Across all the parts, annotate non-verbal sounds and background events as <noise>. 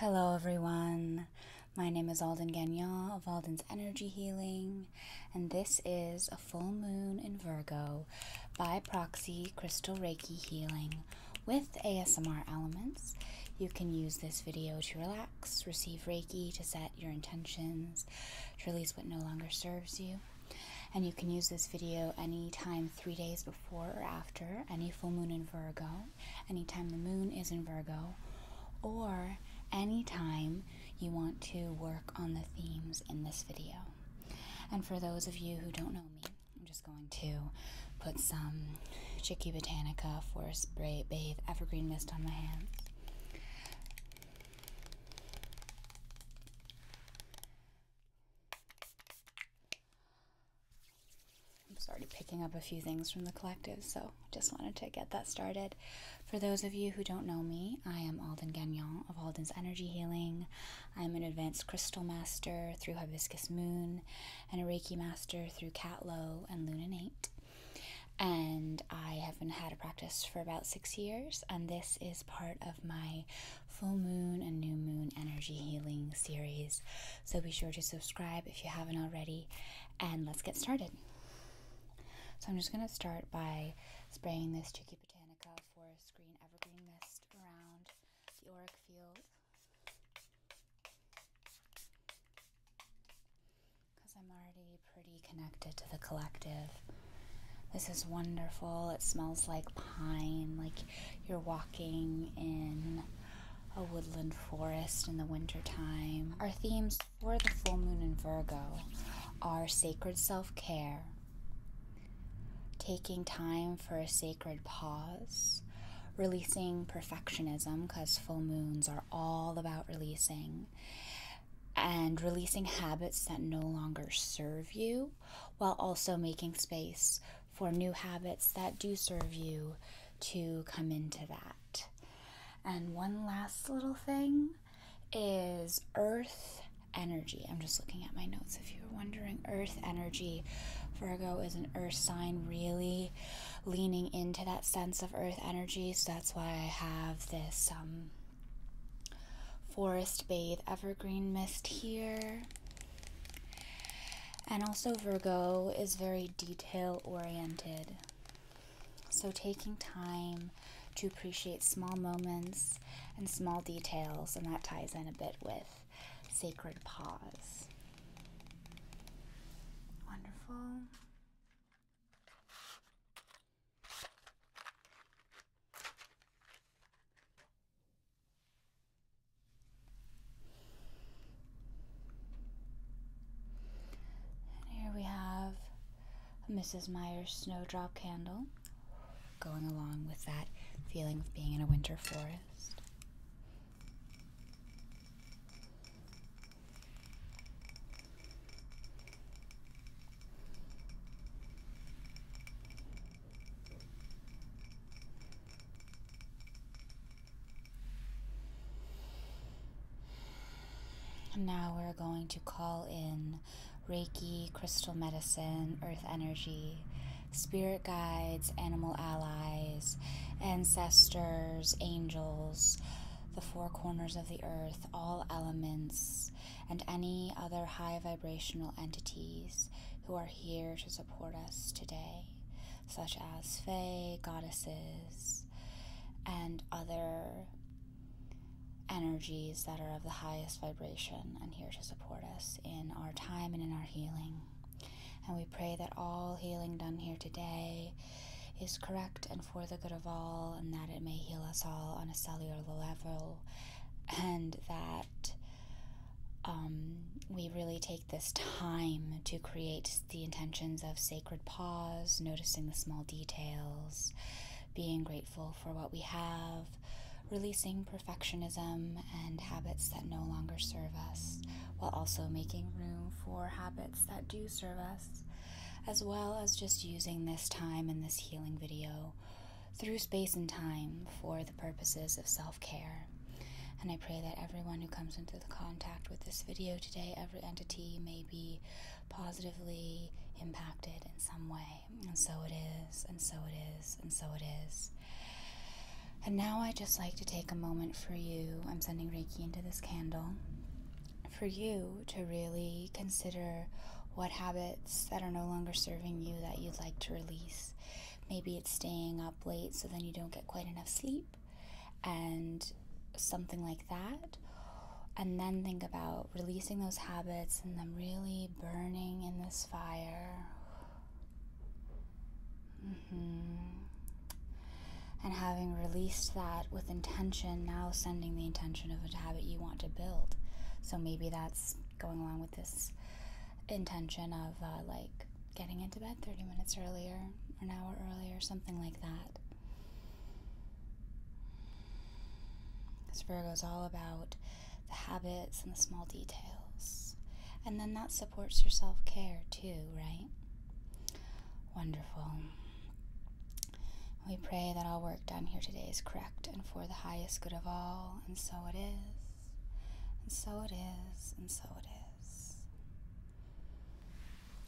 Hello, everyone. My name is Alden Gagnon of Alden's Energy Healing, and this is a full moon in Virgo by proxy crystal Reiki healing with ASMR elements. You can use this video to relax, receive Reiki, to set your intentions, to release what no longer serves you, and you can use this video anytime three days before or after, any full moon in Virgo, anytime the moon is in Virgo, or anytime you want to work on the themes in this video. And for those of you who don't know me, I'm just going to put some Chicky Botanica Forest Bathe Evergreen Mist on my hands. I'm already picking up a few things from the collective, so just wanted to get that started. For those of you who don't know me, I am Alden Gagnon of Alden's Energy Healing. I'm an advanced crystal master through Hibiscus Moon and a Reiki master through Cat Low and Lunanate. And I have been had a practice for about six years, and this is part of my full moon and new moon energy healing series. So be sure to subscribe if you haven't already, and let's get started. So I'm just going to start by spraying this Chicky Botanica Forest Green Evergreen Mist around the auric field. Because I'm already pretty connected to the collective. This is wonderful. It smells like pine, like you're walking in a woodland forest in the wintertime. Our themes for the full moon in Virgo are sacred self care, taking time for a sacred pause, releasing perfectionism, because full moons are all about releasing and releasing habits that no longer serve you while also making space for new habits that do serve you to come into that. And one last little thing is earth energy. I'm just looking at my notes if you are wondering. Earth energy. Virgo is an earth sign, really leaning into that sense of earth energy. So that's why I have this um, Forest Bathe Evergreen Mist here. And also, Virgo is very detail oriented. So, taking time to appreciate small moments and small details, and that ties in a bit with sacred pause. Wonderful here we have Mrs. Meyer's snowdrop candle going along with that feeling of being in a winter forest. Now we're going to call in Reiki, crystal medicine, earth energy, spirit guides, animal allies, ancestors, angels, the four corners of the earth, all elements, and any other high vibrational entities who are here to support us today, such as Fae, goddesses, and other energies that are of the highest vibration and here to support us in our time and in our healing. And we pray that all healing done here today is correct and for the good of all, and that it may heal us all on a cellular level, and that um, we really take this time to create the intentions of sacred pause, noticing the small details, being grateful for what we have, releasing perfectionism and habits that no longer serve us, while also making room for habits that do serve us as well as just using this time in this healing video through space and time for the purposes of self care. And I pray that everyone who comes into contact with this video today, every entity may be positively impacted in some way. And so it is, and so it is, and so it is. And now I just like to take a moment for you. I'm sending Reiki into this candle for you to really consider what habits that are no longer serving you that you'd like to release. Maybe it's staying up late so then you don't get quite enough sleep and something like that. And then think about releasing those habits and them really burning in this fire. Mm-hmm. And having released that with intention, now sending the intention of habit you want to build. So maybe that's going along with this intention of uh, like getting into bed 30 minutes earlier, or an hour earlier, something like that. This Virgo is all about the habits and the small details. And then that supports your self care too, right? Wonderful. We pray that all work done here today is correct and for the highest good of all, and so it is, and so it is, and so it is.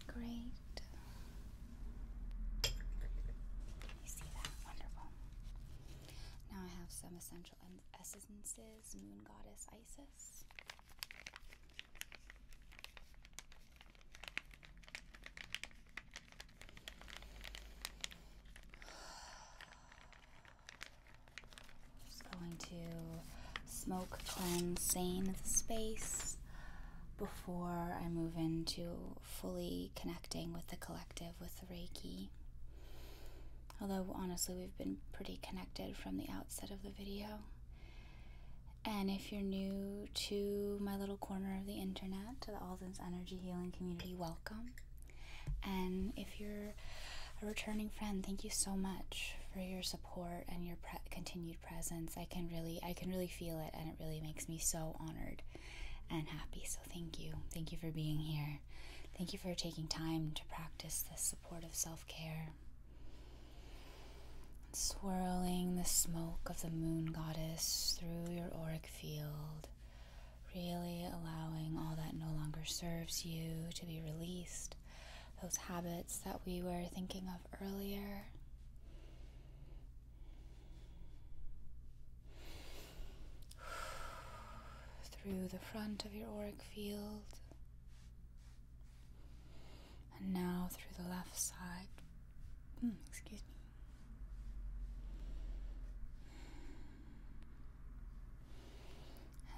Great. You see that? Wonderful. Now I have some essential essences Moon Goddess Isis. Just going to smoke cleanse sane the space before I move into fully connecting with the collective with the Reiki. Although honestly, we've been pretty connected from the outset of the video. And if you're new to my little corner of the internet, to the Alden's Energy Healing Community, welcome. And if you're a returning friend, thank you so much for your support and your continued presence. I can really, I can really feel it, and it really makes me so honored and happy. So thank you, thank you for being here. Thank you for taking time to practice this supportive self care swirling the smoke of the moon goddess through your auric field, really allowing all that no longer serves you to be released, those habits that we were thinking of earlier. <sighs> through the front of your auric field and now through the left side. Hmm, excuse me.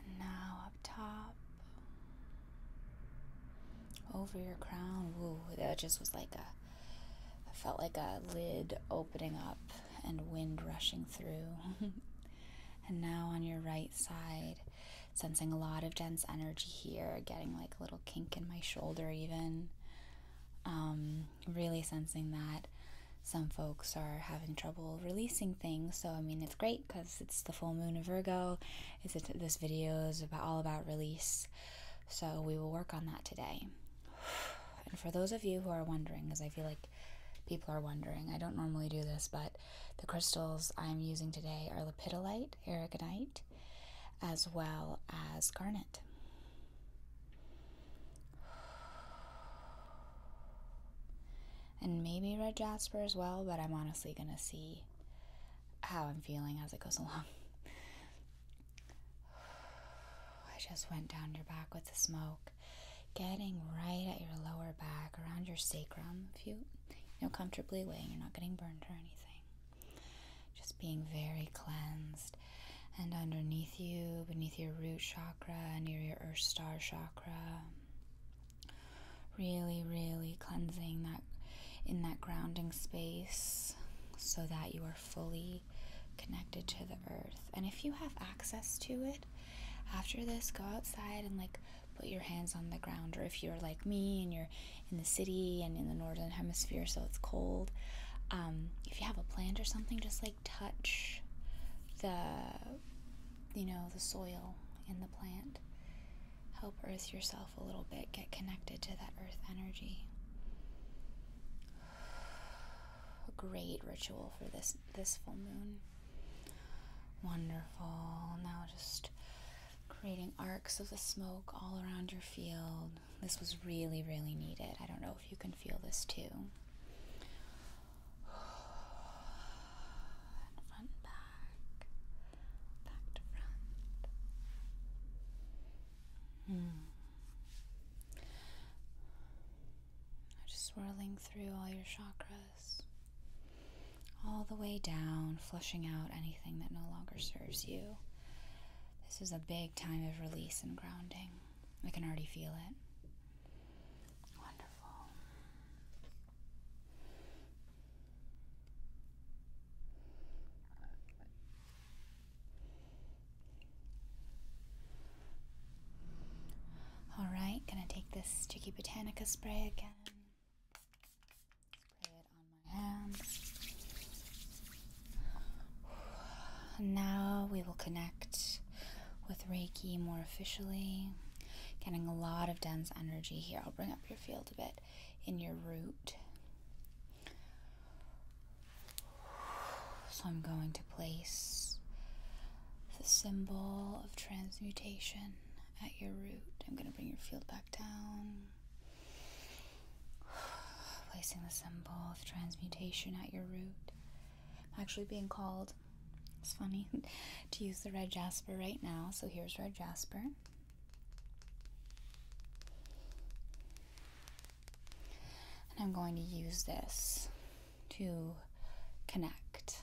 And now up top, over your crown. Woo, that just was like a felt like a lid opening up and wind rushing through. <laughs> and now on your right side, sensing a lot of dense energy here, getting like like little kink in my shoulder, even. Um, really sensing that some folks are having trouble releasing things. So, I mean, it's great because it's the full moon of Virgo. Is this video is about, all about release. So, we will work on that today. <sighs> And for those of you who are wondering, because I feel like people are wondering, I don't normally do this, but the crystals I'm using today are lapidolite, aragonite, as well as Garnet. And maybe Red Jasper as well, but I'm honestly gonna see how I'm feeling as it goes <laughs> along. I just went down your back with the smoke, getting right at your lower back, around your sacrum, if you, you know, comfortably weighing, you're not getting burned or anything. Just being very cleansed. And underneath you, beneath your root chakra, near your earth star chakra, really, really cleansing that in that grounding space so that you are fully connected to the earth. And if you have access to it, after this, go outside and like put your hands on the ground. Or if you're like me and you're in the city and in the northern hemisphere, so it's cold. Um, if you have a plant or something, just like touch the, you know, the soil in the plant. Help earth yourself a little bit, get connected to that earth energy. <sighs> A great ritual for this this full moon. Wonderful. Now just creating arcs of the smoke all around your field. This was really, really needed. I don't know if you can feel this too. And <sighs> front back, back to front. Hmm. Just swirling through all your chakras all the way down, flushing out anything that no longer serves you. This is a big time of release and grounding. I can already feel it. Wonderful. All right, gonna take this sticky botanica spray again now we will connect with Reiki more officially. Getting a lot of dense energy here. I'll bring up your field a bit in your root. So I'm going to place the symbol of transmutation at your root. I'm going to bring your field back down. <sighs> Placing the symbol of transmutation at your root. actually being called, it's funny, <laughs> to use the red jasper right now. So here's red jasper. And I'm going to use this to connect.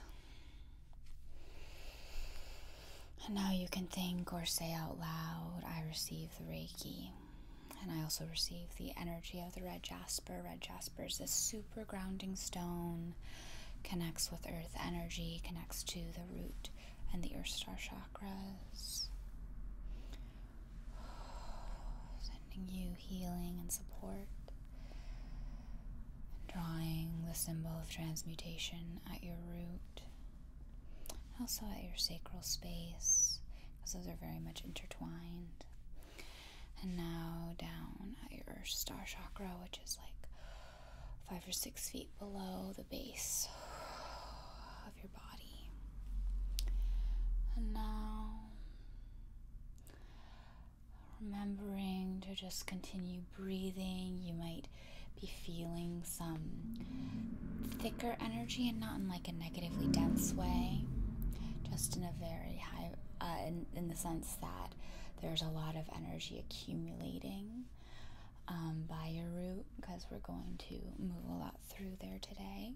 And now you can think or say out loud, I receive the Reiki. And I also receive the energy of the red jasper. Red jasper is a super grounding stone, connects with earth energy, connects to the root and the earth star chakras. <sighs> Sending you healing and support. Drawing the symbol of transmutation at your root also at your sacral space, because those are very much intertwined. And now down at your star chakra, which is like five or six feet below the base of your body. And now remembering to just continue breathing, you might be feeling some thicker energy and not in like a negatively dense way, just in a very high, uh, in, in the sense that there's a lot of energy accumulating um, by your root because we're going to move a lot through there today.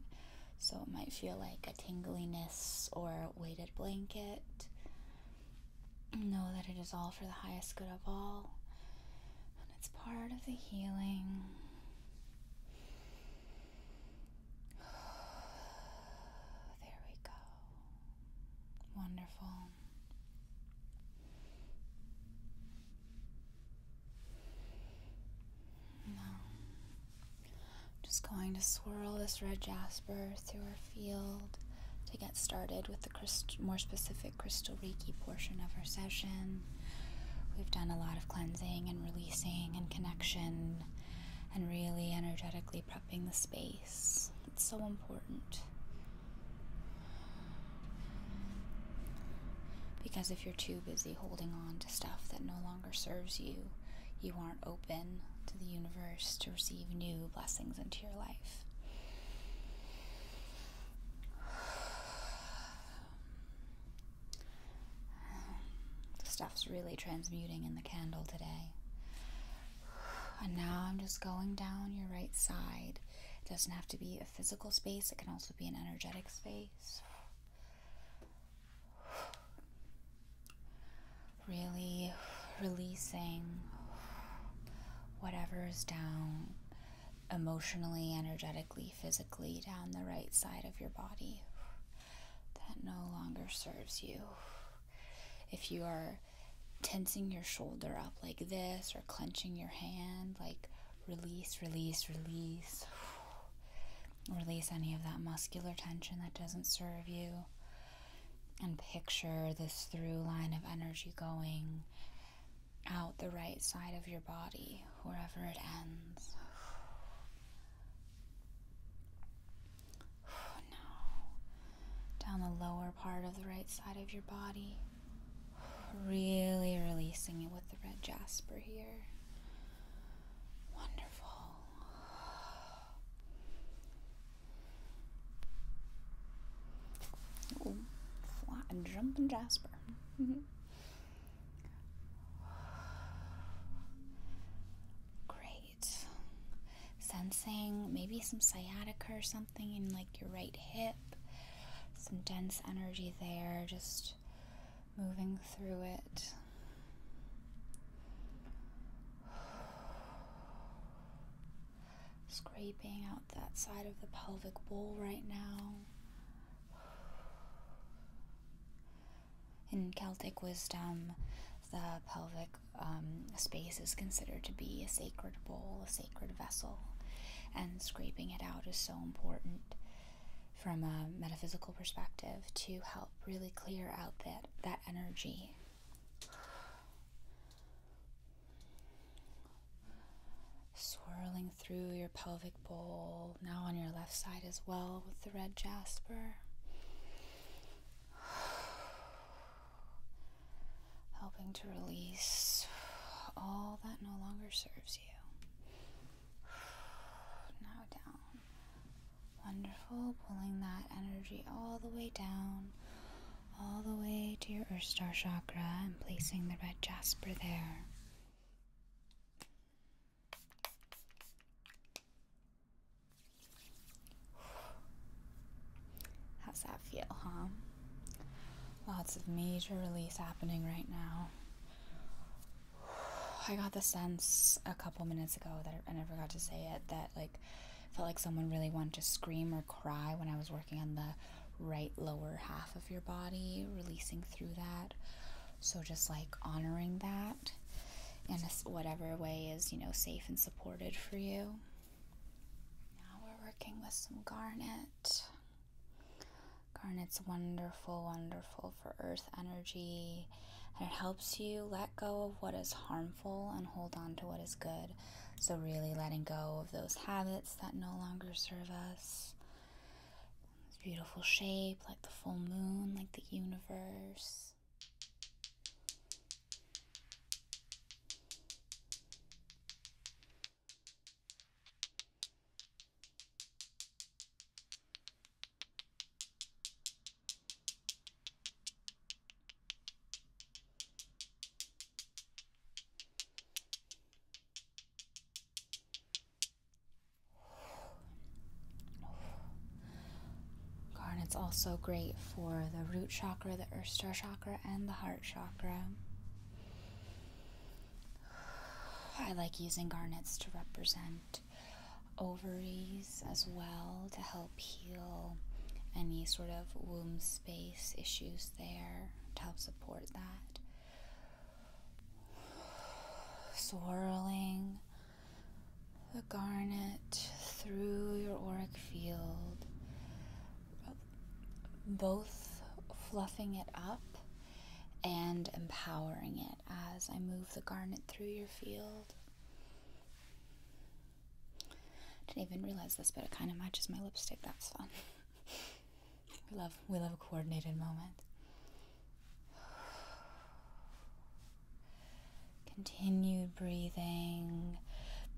So it might feel like a tingliness or weighted blanket. Know that it is all for the highest good of all, and it's part of the healing. <sighs> There we go. Wonderful. Now, just going to swirl this red jasper through her field to get started with the more specific crystal reiki portion of our session. We've done a lot of cleansing and releasing and connection and really energetically prepping the space. It's so important. Because if you're too busy holding on to stuff that no longer serves you, you aren't open to the universe to receive new blessings into your life. <sighs> The stuff's really transmuting in the candle today. And now I'm just going down your right side. It doesn't have to be a physical space, it can also be an energetic space. <sighs> Really releasing Whatever is down emotionally, energetically, physically down the right side of your body that no longer serves you. If you are tensing your shoulder up like this or clenching your hand, like release, release, release. Release any of that muscular tension that doesn't serve you and picture this through line of energy going out the right side of your body, wherever it ends. <sighs> down the lower part of the right side of your body. Really releasing it with the red jasper here. Wonderful. Oh, and jumping Jasper. Mm-hmm. Great. Sensing maybe some sciatica or something in like your right hip. Some dense energy there, just moving through it. Scraping out that side of the pelvic bowl right now. In Celtic wisdom, the pelvic um, space is considered to be a sacred bowl, a sacred vessel, and scraping it out is so important from a metaphysical perspective to help really clear out that, that energy swirling through your pelvic bowl, now on your left side as well with the red jasper. <sighs> Helping to release all that no longer serves you. <sighs> Now down. Wonderful, pulling that energy all the way down all the way to your Earth Star chakra and placing the red jasper there. How's that feel, huh? Lots of major release happening right now. I got the sense a couple minutes ago that I never got to say it that like felt like someone really wanted to scream or cry when I was working on the right lower half of your body, releasing through that. So just like honoring that in whatever way is, you know, safe and supported for you. Now we're working with some garnet. Garnet's wonderful, wonderful for earth energy, and it helps you let go of what is harmful and hold on to what is good. So, really letting go of those habits that no longer serve us. This beautiful shape, like the full moon, like the universe. Garnet's also great for the root chakra, the earth star chakra, and the heart chakra. I like using garnets to represent ovaries as well to help help any sort of womb space issues there to help support that. Swirling the garnet through your auric field, both fluffing it up and empowering it as I move the garnet through your field. Didn't even realize this, but it kind of matches my lipstick. That's fun. <laughs> we love we love a coordinated moment. <sighs> Continued breathing,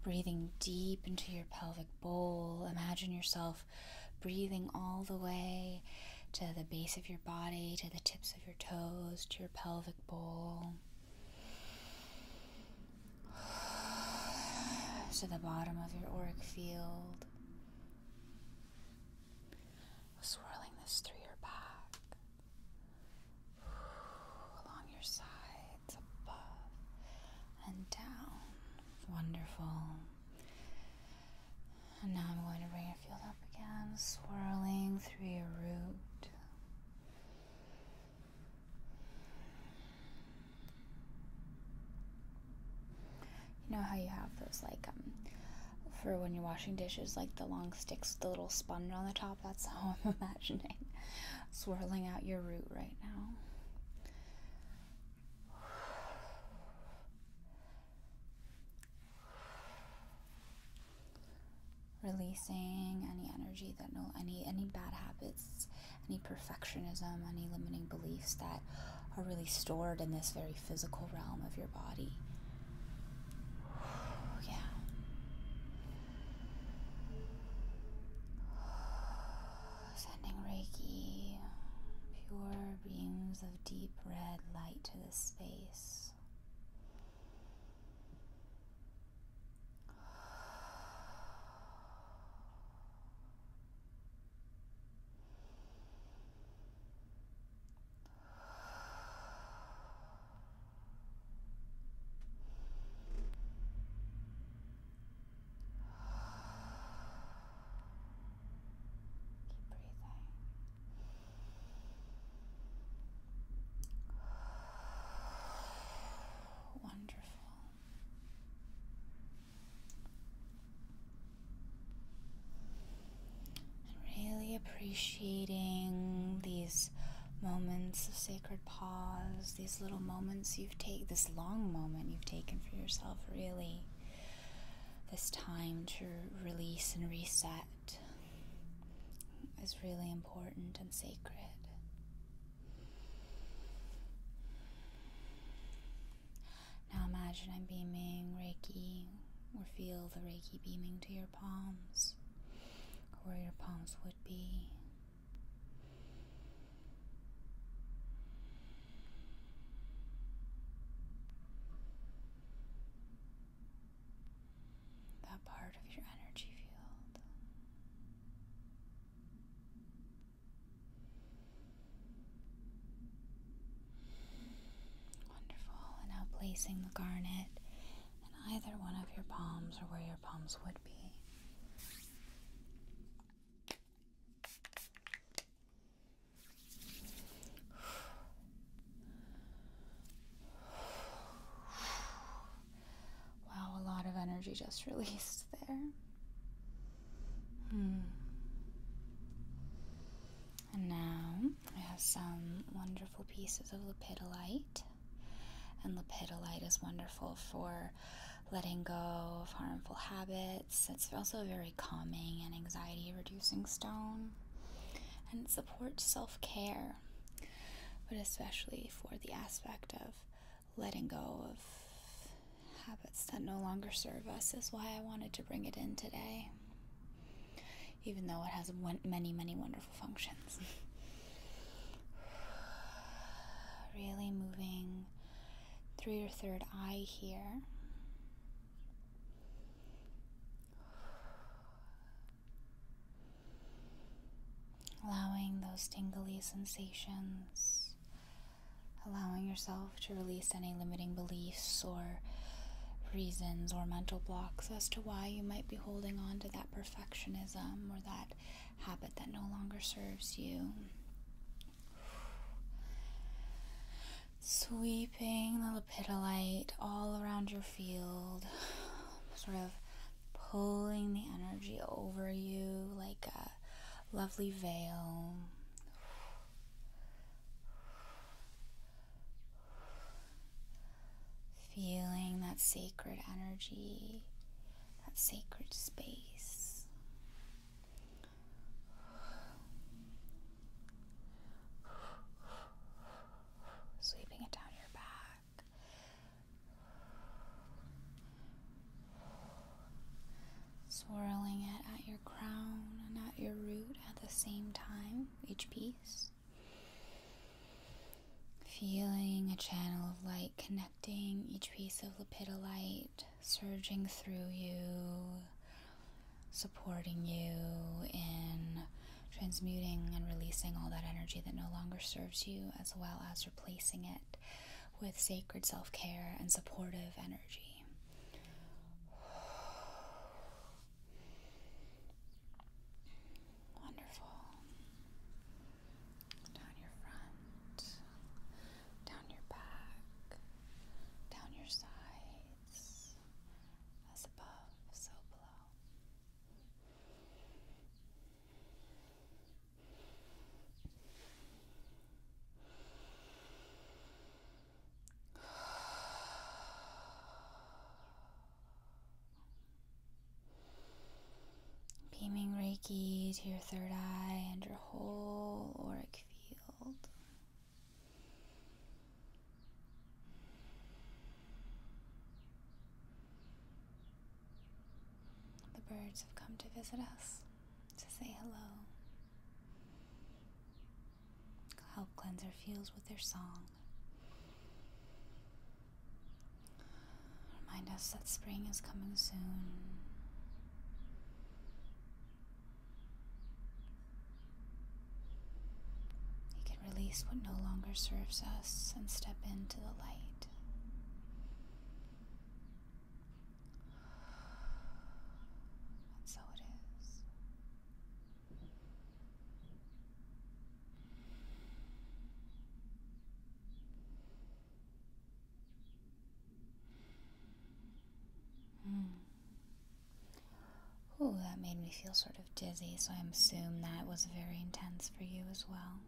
breathing deep into your pelvic bowl. Imagine yourself breathing all the way to the base of your body, to the tips of your toes, to your pelvic bowl. <sighs> to the bottom of your auric field, swirling this through your back, <sighs> along your sides, above and down. Wonderful. And now I'm going to bring your field up again, swirling through your root. You know how you have those, like, um, for when you're washing dishes, like the long sticks with the little sponge on the top? That's how I'm <laughs> imagining swirling out your root right now releasing any energy that no any any bad habits any perfectionism any limiting beliefs that are really stored in this very physical realm of your body <sighs> yeah <sighs> sending reiki pure beams of deep red light to this space Keep breathing. Wonderful. really appreciating these moments of sacred pause, these little moments you've taken, this long moment you've taken for yourself, really. This time to release and reset is really important and sacred. Now imagine I'm beaming Reiki or feel the Reiki beaming to your palms, or where your palms would be that part of your energy field. Wonderful. And now placing the garnet in either one of your palms or where your palms would be. <sighs> Wow, a lot of energy just <laughs> released there. Hmm. And now we have some wonderful pieces of lepidolite. And lepidolite is wonderful for letting go of harmful habits. It's also a very calming and anxiety reducing stone. And it supports self care but especially for the aspect of letting go of habits that no longer serve us, is why I wanted to bring it in today. Even though it has many, many wonderful functions. <sighs> really moving through your third eye here. Allowing those tingly sensations, allowing yourself to release any limiting beliefs or reasons or mental blocks as to why you might be holding on to that perfectionism or that habit that no longer serves you. Sweeping the allopytolite all around your field, <sighs> sort of pulling the energy over you like a lovely veil. <sighs> Feeling that sacred energy, that sacred space. <sighs> Sweeping it down your back. Swirling it at your crown and at your root at the same time, each piece. Feeling a channel of light connecting each piece of lapidolite, surging through you, supporting you in transmuting and releasing all that energy that no longer serves you, as well as replacing it with sacred self care and supportive energy. <sighs> Wonderful. Down your front, down your back, down your sides, as above, so below. Beaming Reiki to your third eye and your whole auric field. The birds have come to visit us to say hello. Help cleanse our fields with their song. Remind us that spring is coming soon. He can release what no longer serves us and step into the light. And so it is. Mm. Ooh, that made me feel sort of dizzy, so I assume that was very intense for you as well.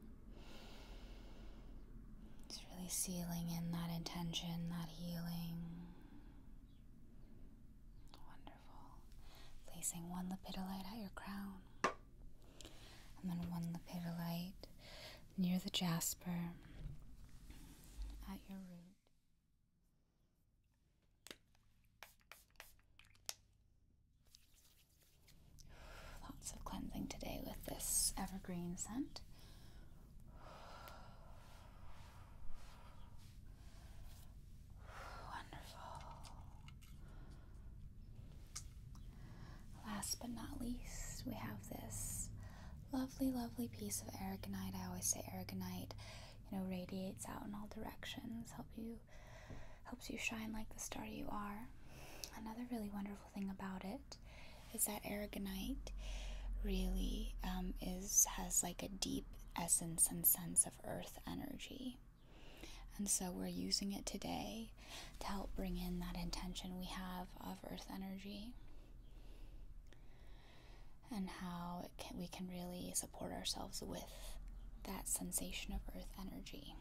It's really sealing in that intention, that healing. Wonderful. Placing one lipidolite at your crown, and then one lipidolite near the jasper at your root. Lots of cleansing today with this evergreen scent. Wonderful. Last but not least, we have this lovely, lovely piece of aragonite. I always say aragonite, you know, radiates out in all directions, help you helps you shine like the star you are. Another really wonderful thing about it is that aragonite really um, is has like a deep essence and sense of earth energy. And so we're using it today to help bring in that intention we have of earth energy and how we can really support ourselves with that sensation of earth energy.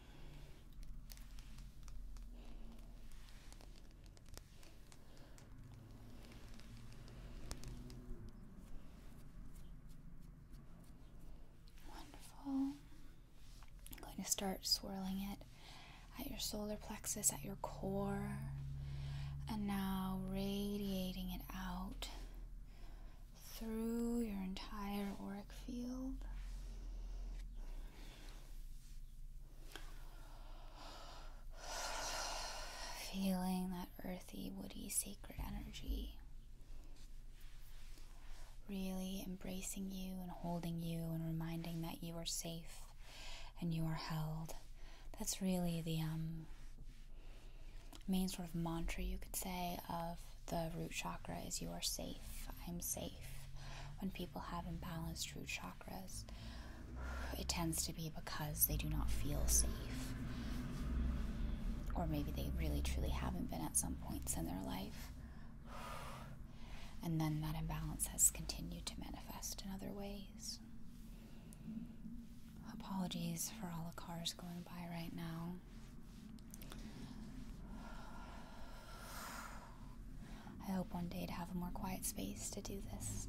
Wonderful. I'm going to start swirling it at your solar plexus, at your core, and now radiating it out through your entire auric field. Feeling that earthy, woody, sacred energy really embracing you and holding you and reminding that you are safe and you are held. That's really the um main sort of mantra you could say of the root chakra is you are safe, I'm safe. When people have imbalanced root chakras, it tends to be because they do not feel safe. Or maybe they really truly haven't been at some points in their life. And then that imbalance has continued to manifest in other ways. Apologies for all the cars going by right now. I hope one day to have a more quiet space to do this,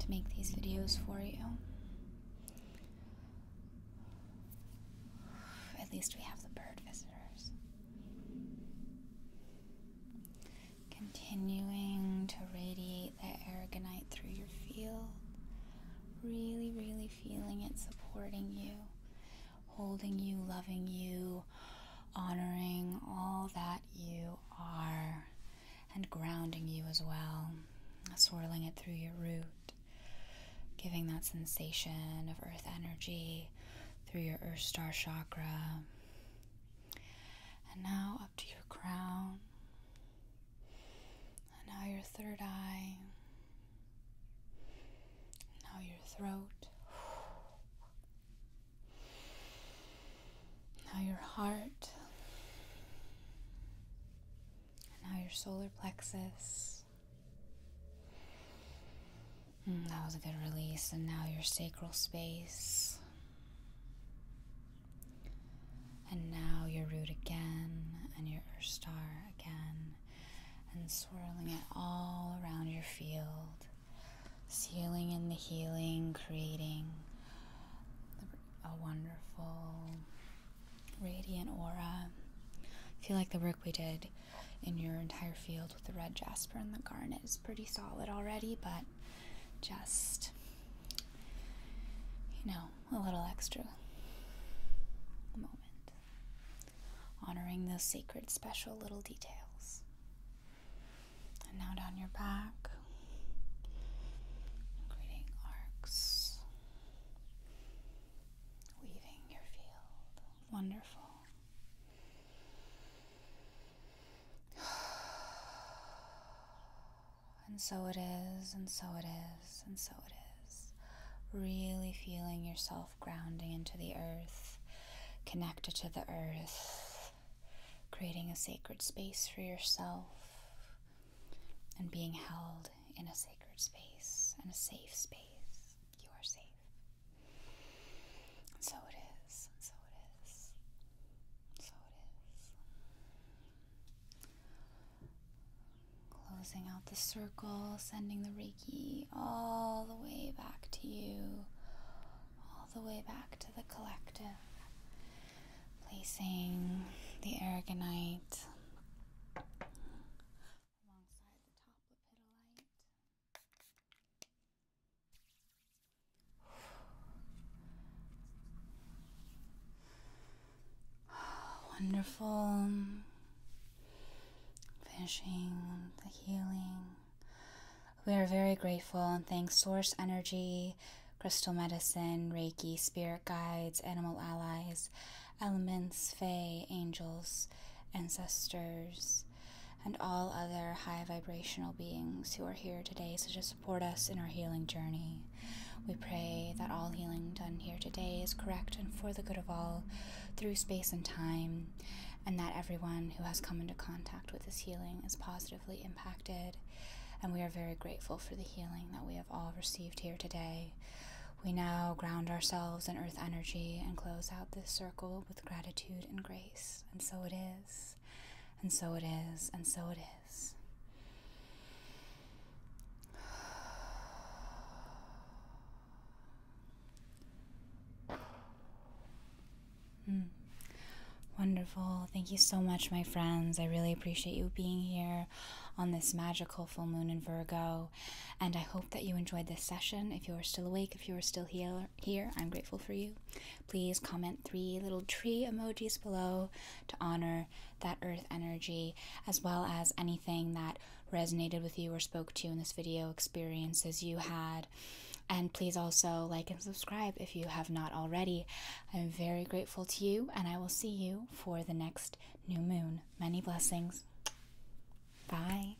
to make these videos for you. At least we have the bird visitors. Continuing to radiate that aragonite through your field. Really, really feeling it supporting you, holding you, loving you, honoring all that you are, and grounding you as well. Swirling it through your root, giving that sensation of earth energy through your earth star chakra. And now up to your crown now your third eye. Now your throat. Now your heart. now your solar plexus. Hmm, that was a good release. And now your sacral space. And now your root again, and your Earth Star again, and swirling it all around your field, sealing in the healing, creating a wonderful, radiant aura. I feel like the work we did in your entire field with the red jasper and the garnet is pretty solid already, but just you know, a little extra moment. Honoring those sacred, special little details. And now down your back, creating arcs, weaving your field. Wonderful. <sighs> and so it is, and so it is, and so it is. Really feeling yourself grounding into the earth, connected to the earth, creating a sacred space for yourself, and being held in a sacred space and a safe space. You are safe. so it is, so it is, so it is. Closing out the circle, sending the Reiki all the way back to you, all the way back to the collective. Placing the aragonite alongside the top <sighs> Wonderful. Finishing the healing. We are very grateful and thank Source Energy, Crystal Medicine, Reiki, Spirit Guides, Animal Allies, Elements, Fae, Angels, Ancestors, and all other high vibrational beings who are here today, such as support us in our healing journey. We pray that all healing done here today is correct and for the good of all through space and time, and that everyone who has come into contact with this healing is positively impacted. And we are very grateful for the healing that we have all received here today. We now ground ourselves in earth energy and close out this circle with gratitude and grace. And so it is, and so it is, and so it is. <sighs> Hmm. Wonderful. Thank you so much, my friends. I really appreciate you being here on this magical full moon in Virgo. And I hope that you enjoyed this session. If you are still awake, if you are still here, here I'm grateful for you please comment three little tree emojis below to honor that earth energy, as well as anything that resonated with you or spoke to you in this video, experiences you had. And please also like and subscribe if you have not already. I'm very grateful to you, and I will see you for the next new moon. Many blessings. Bye.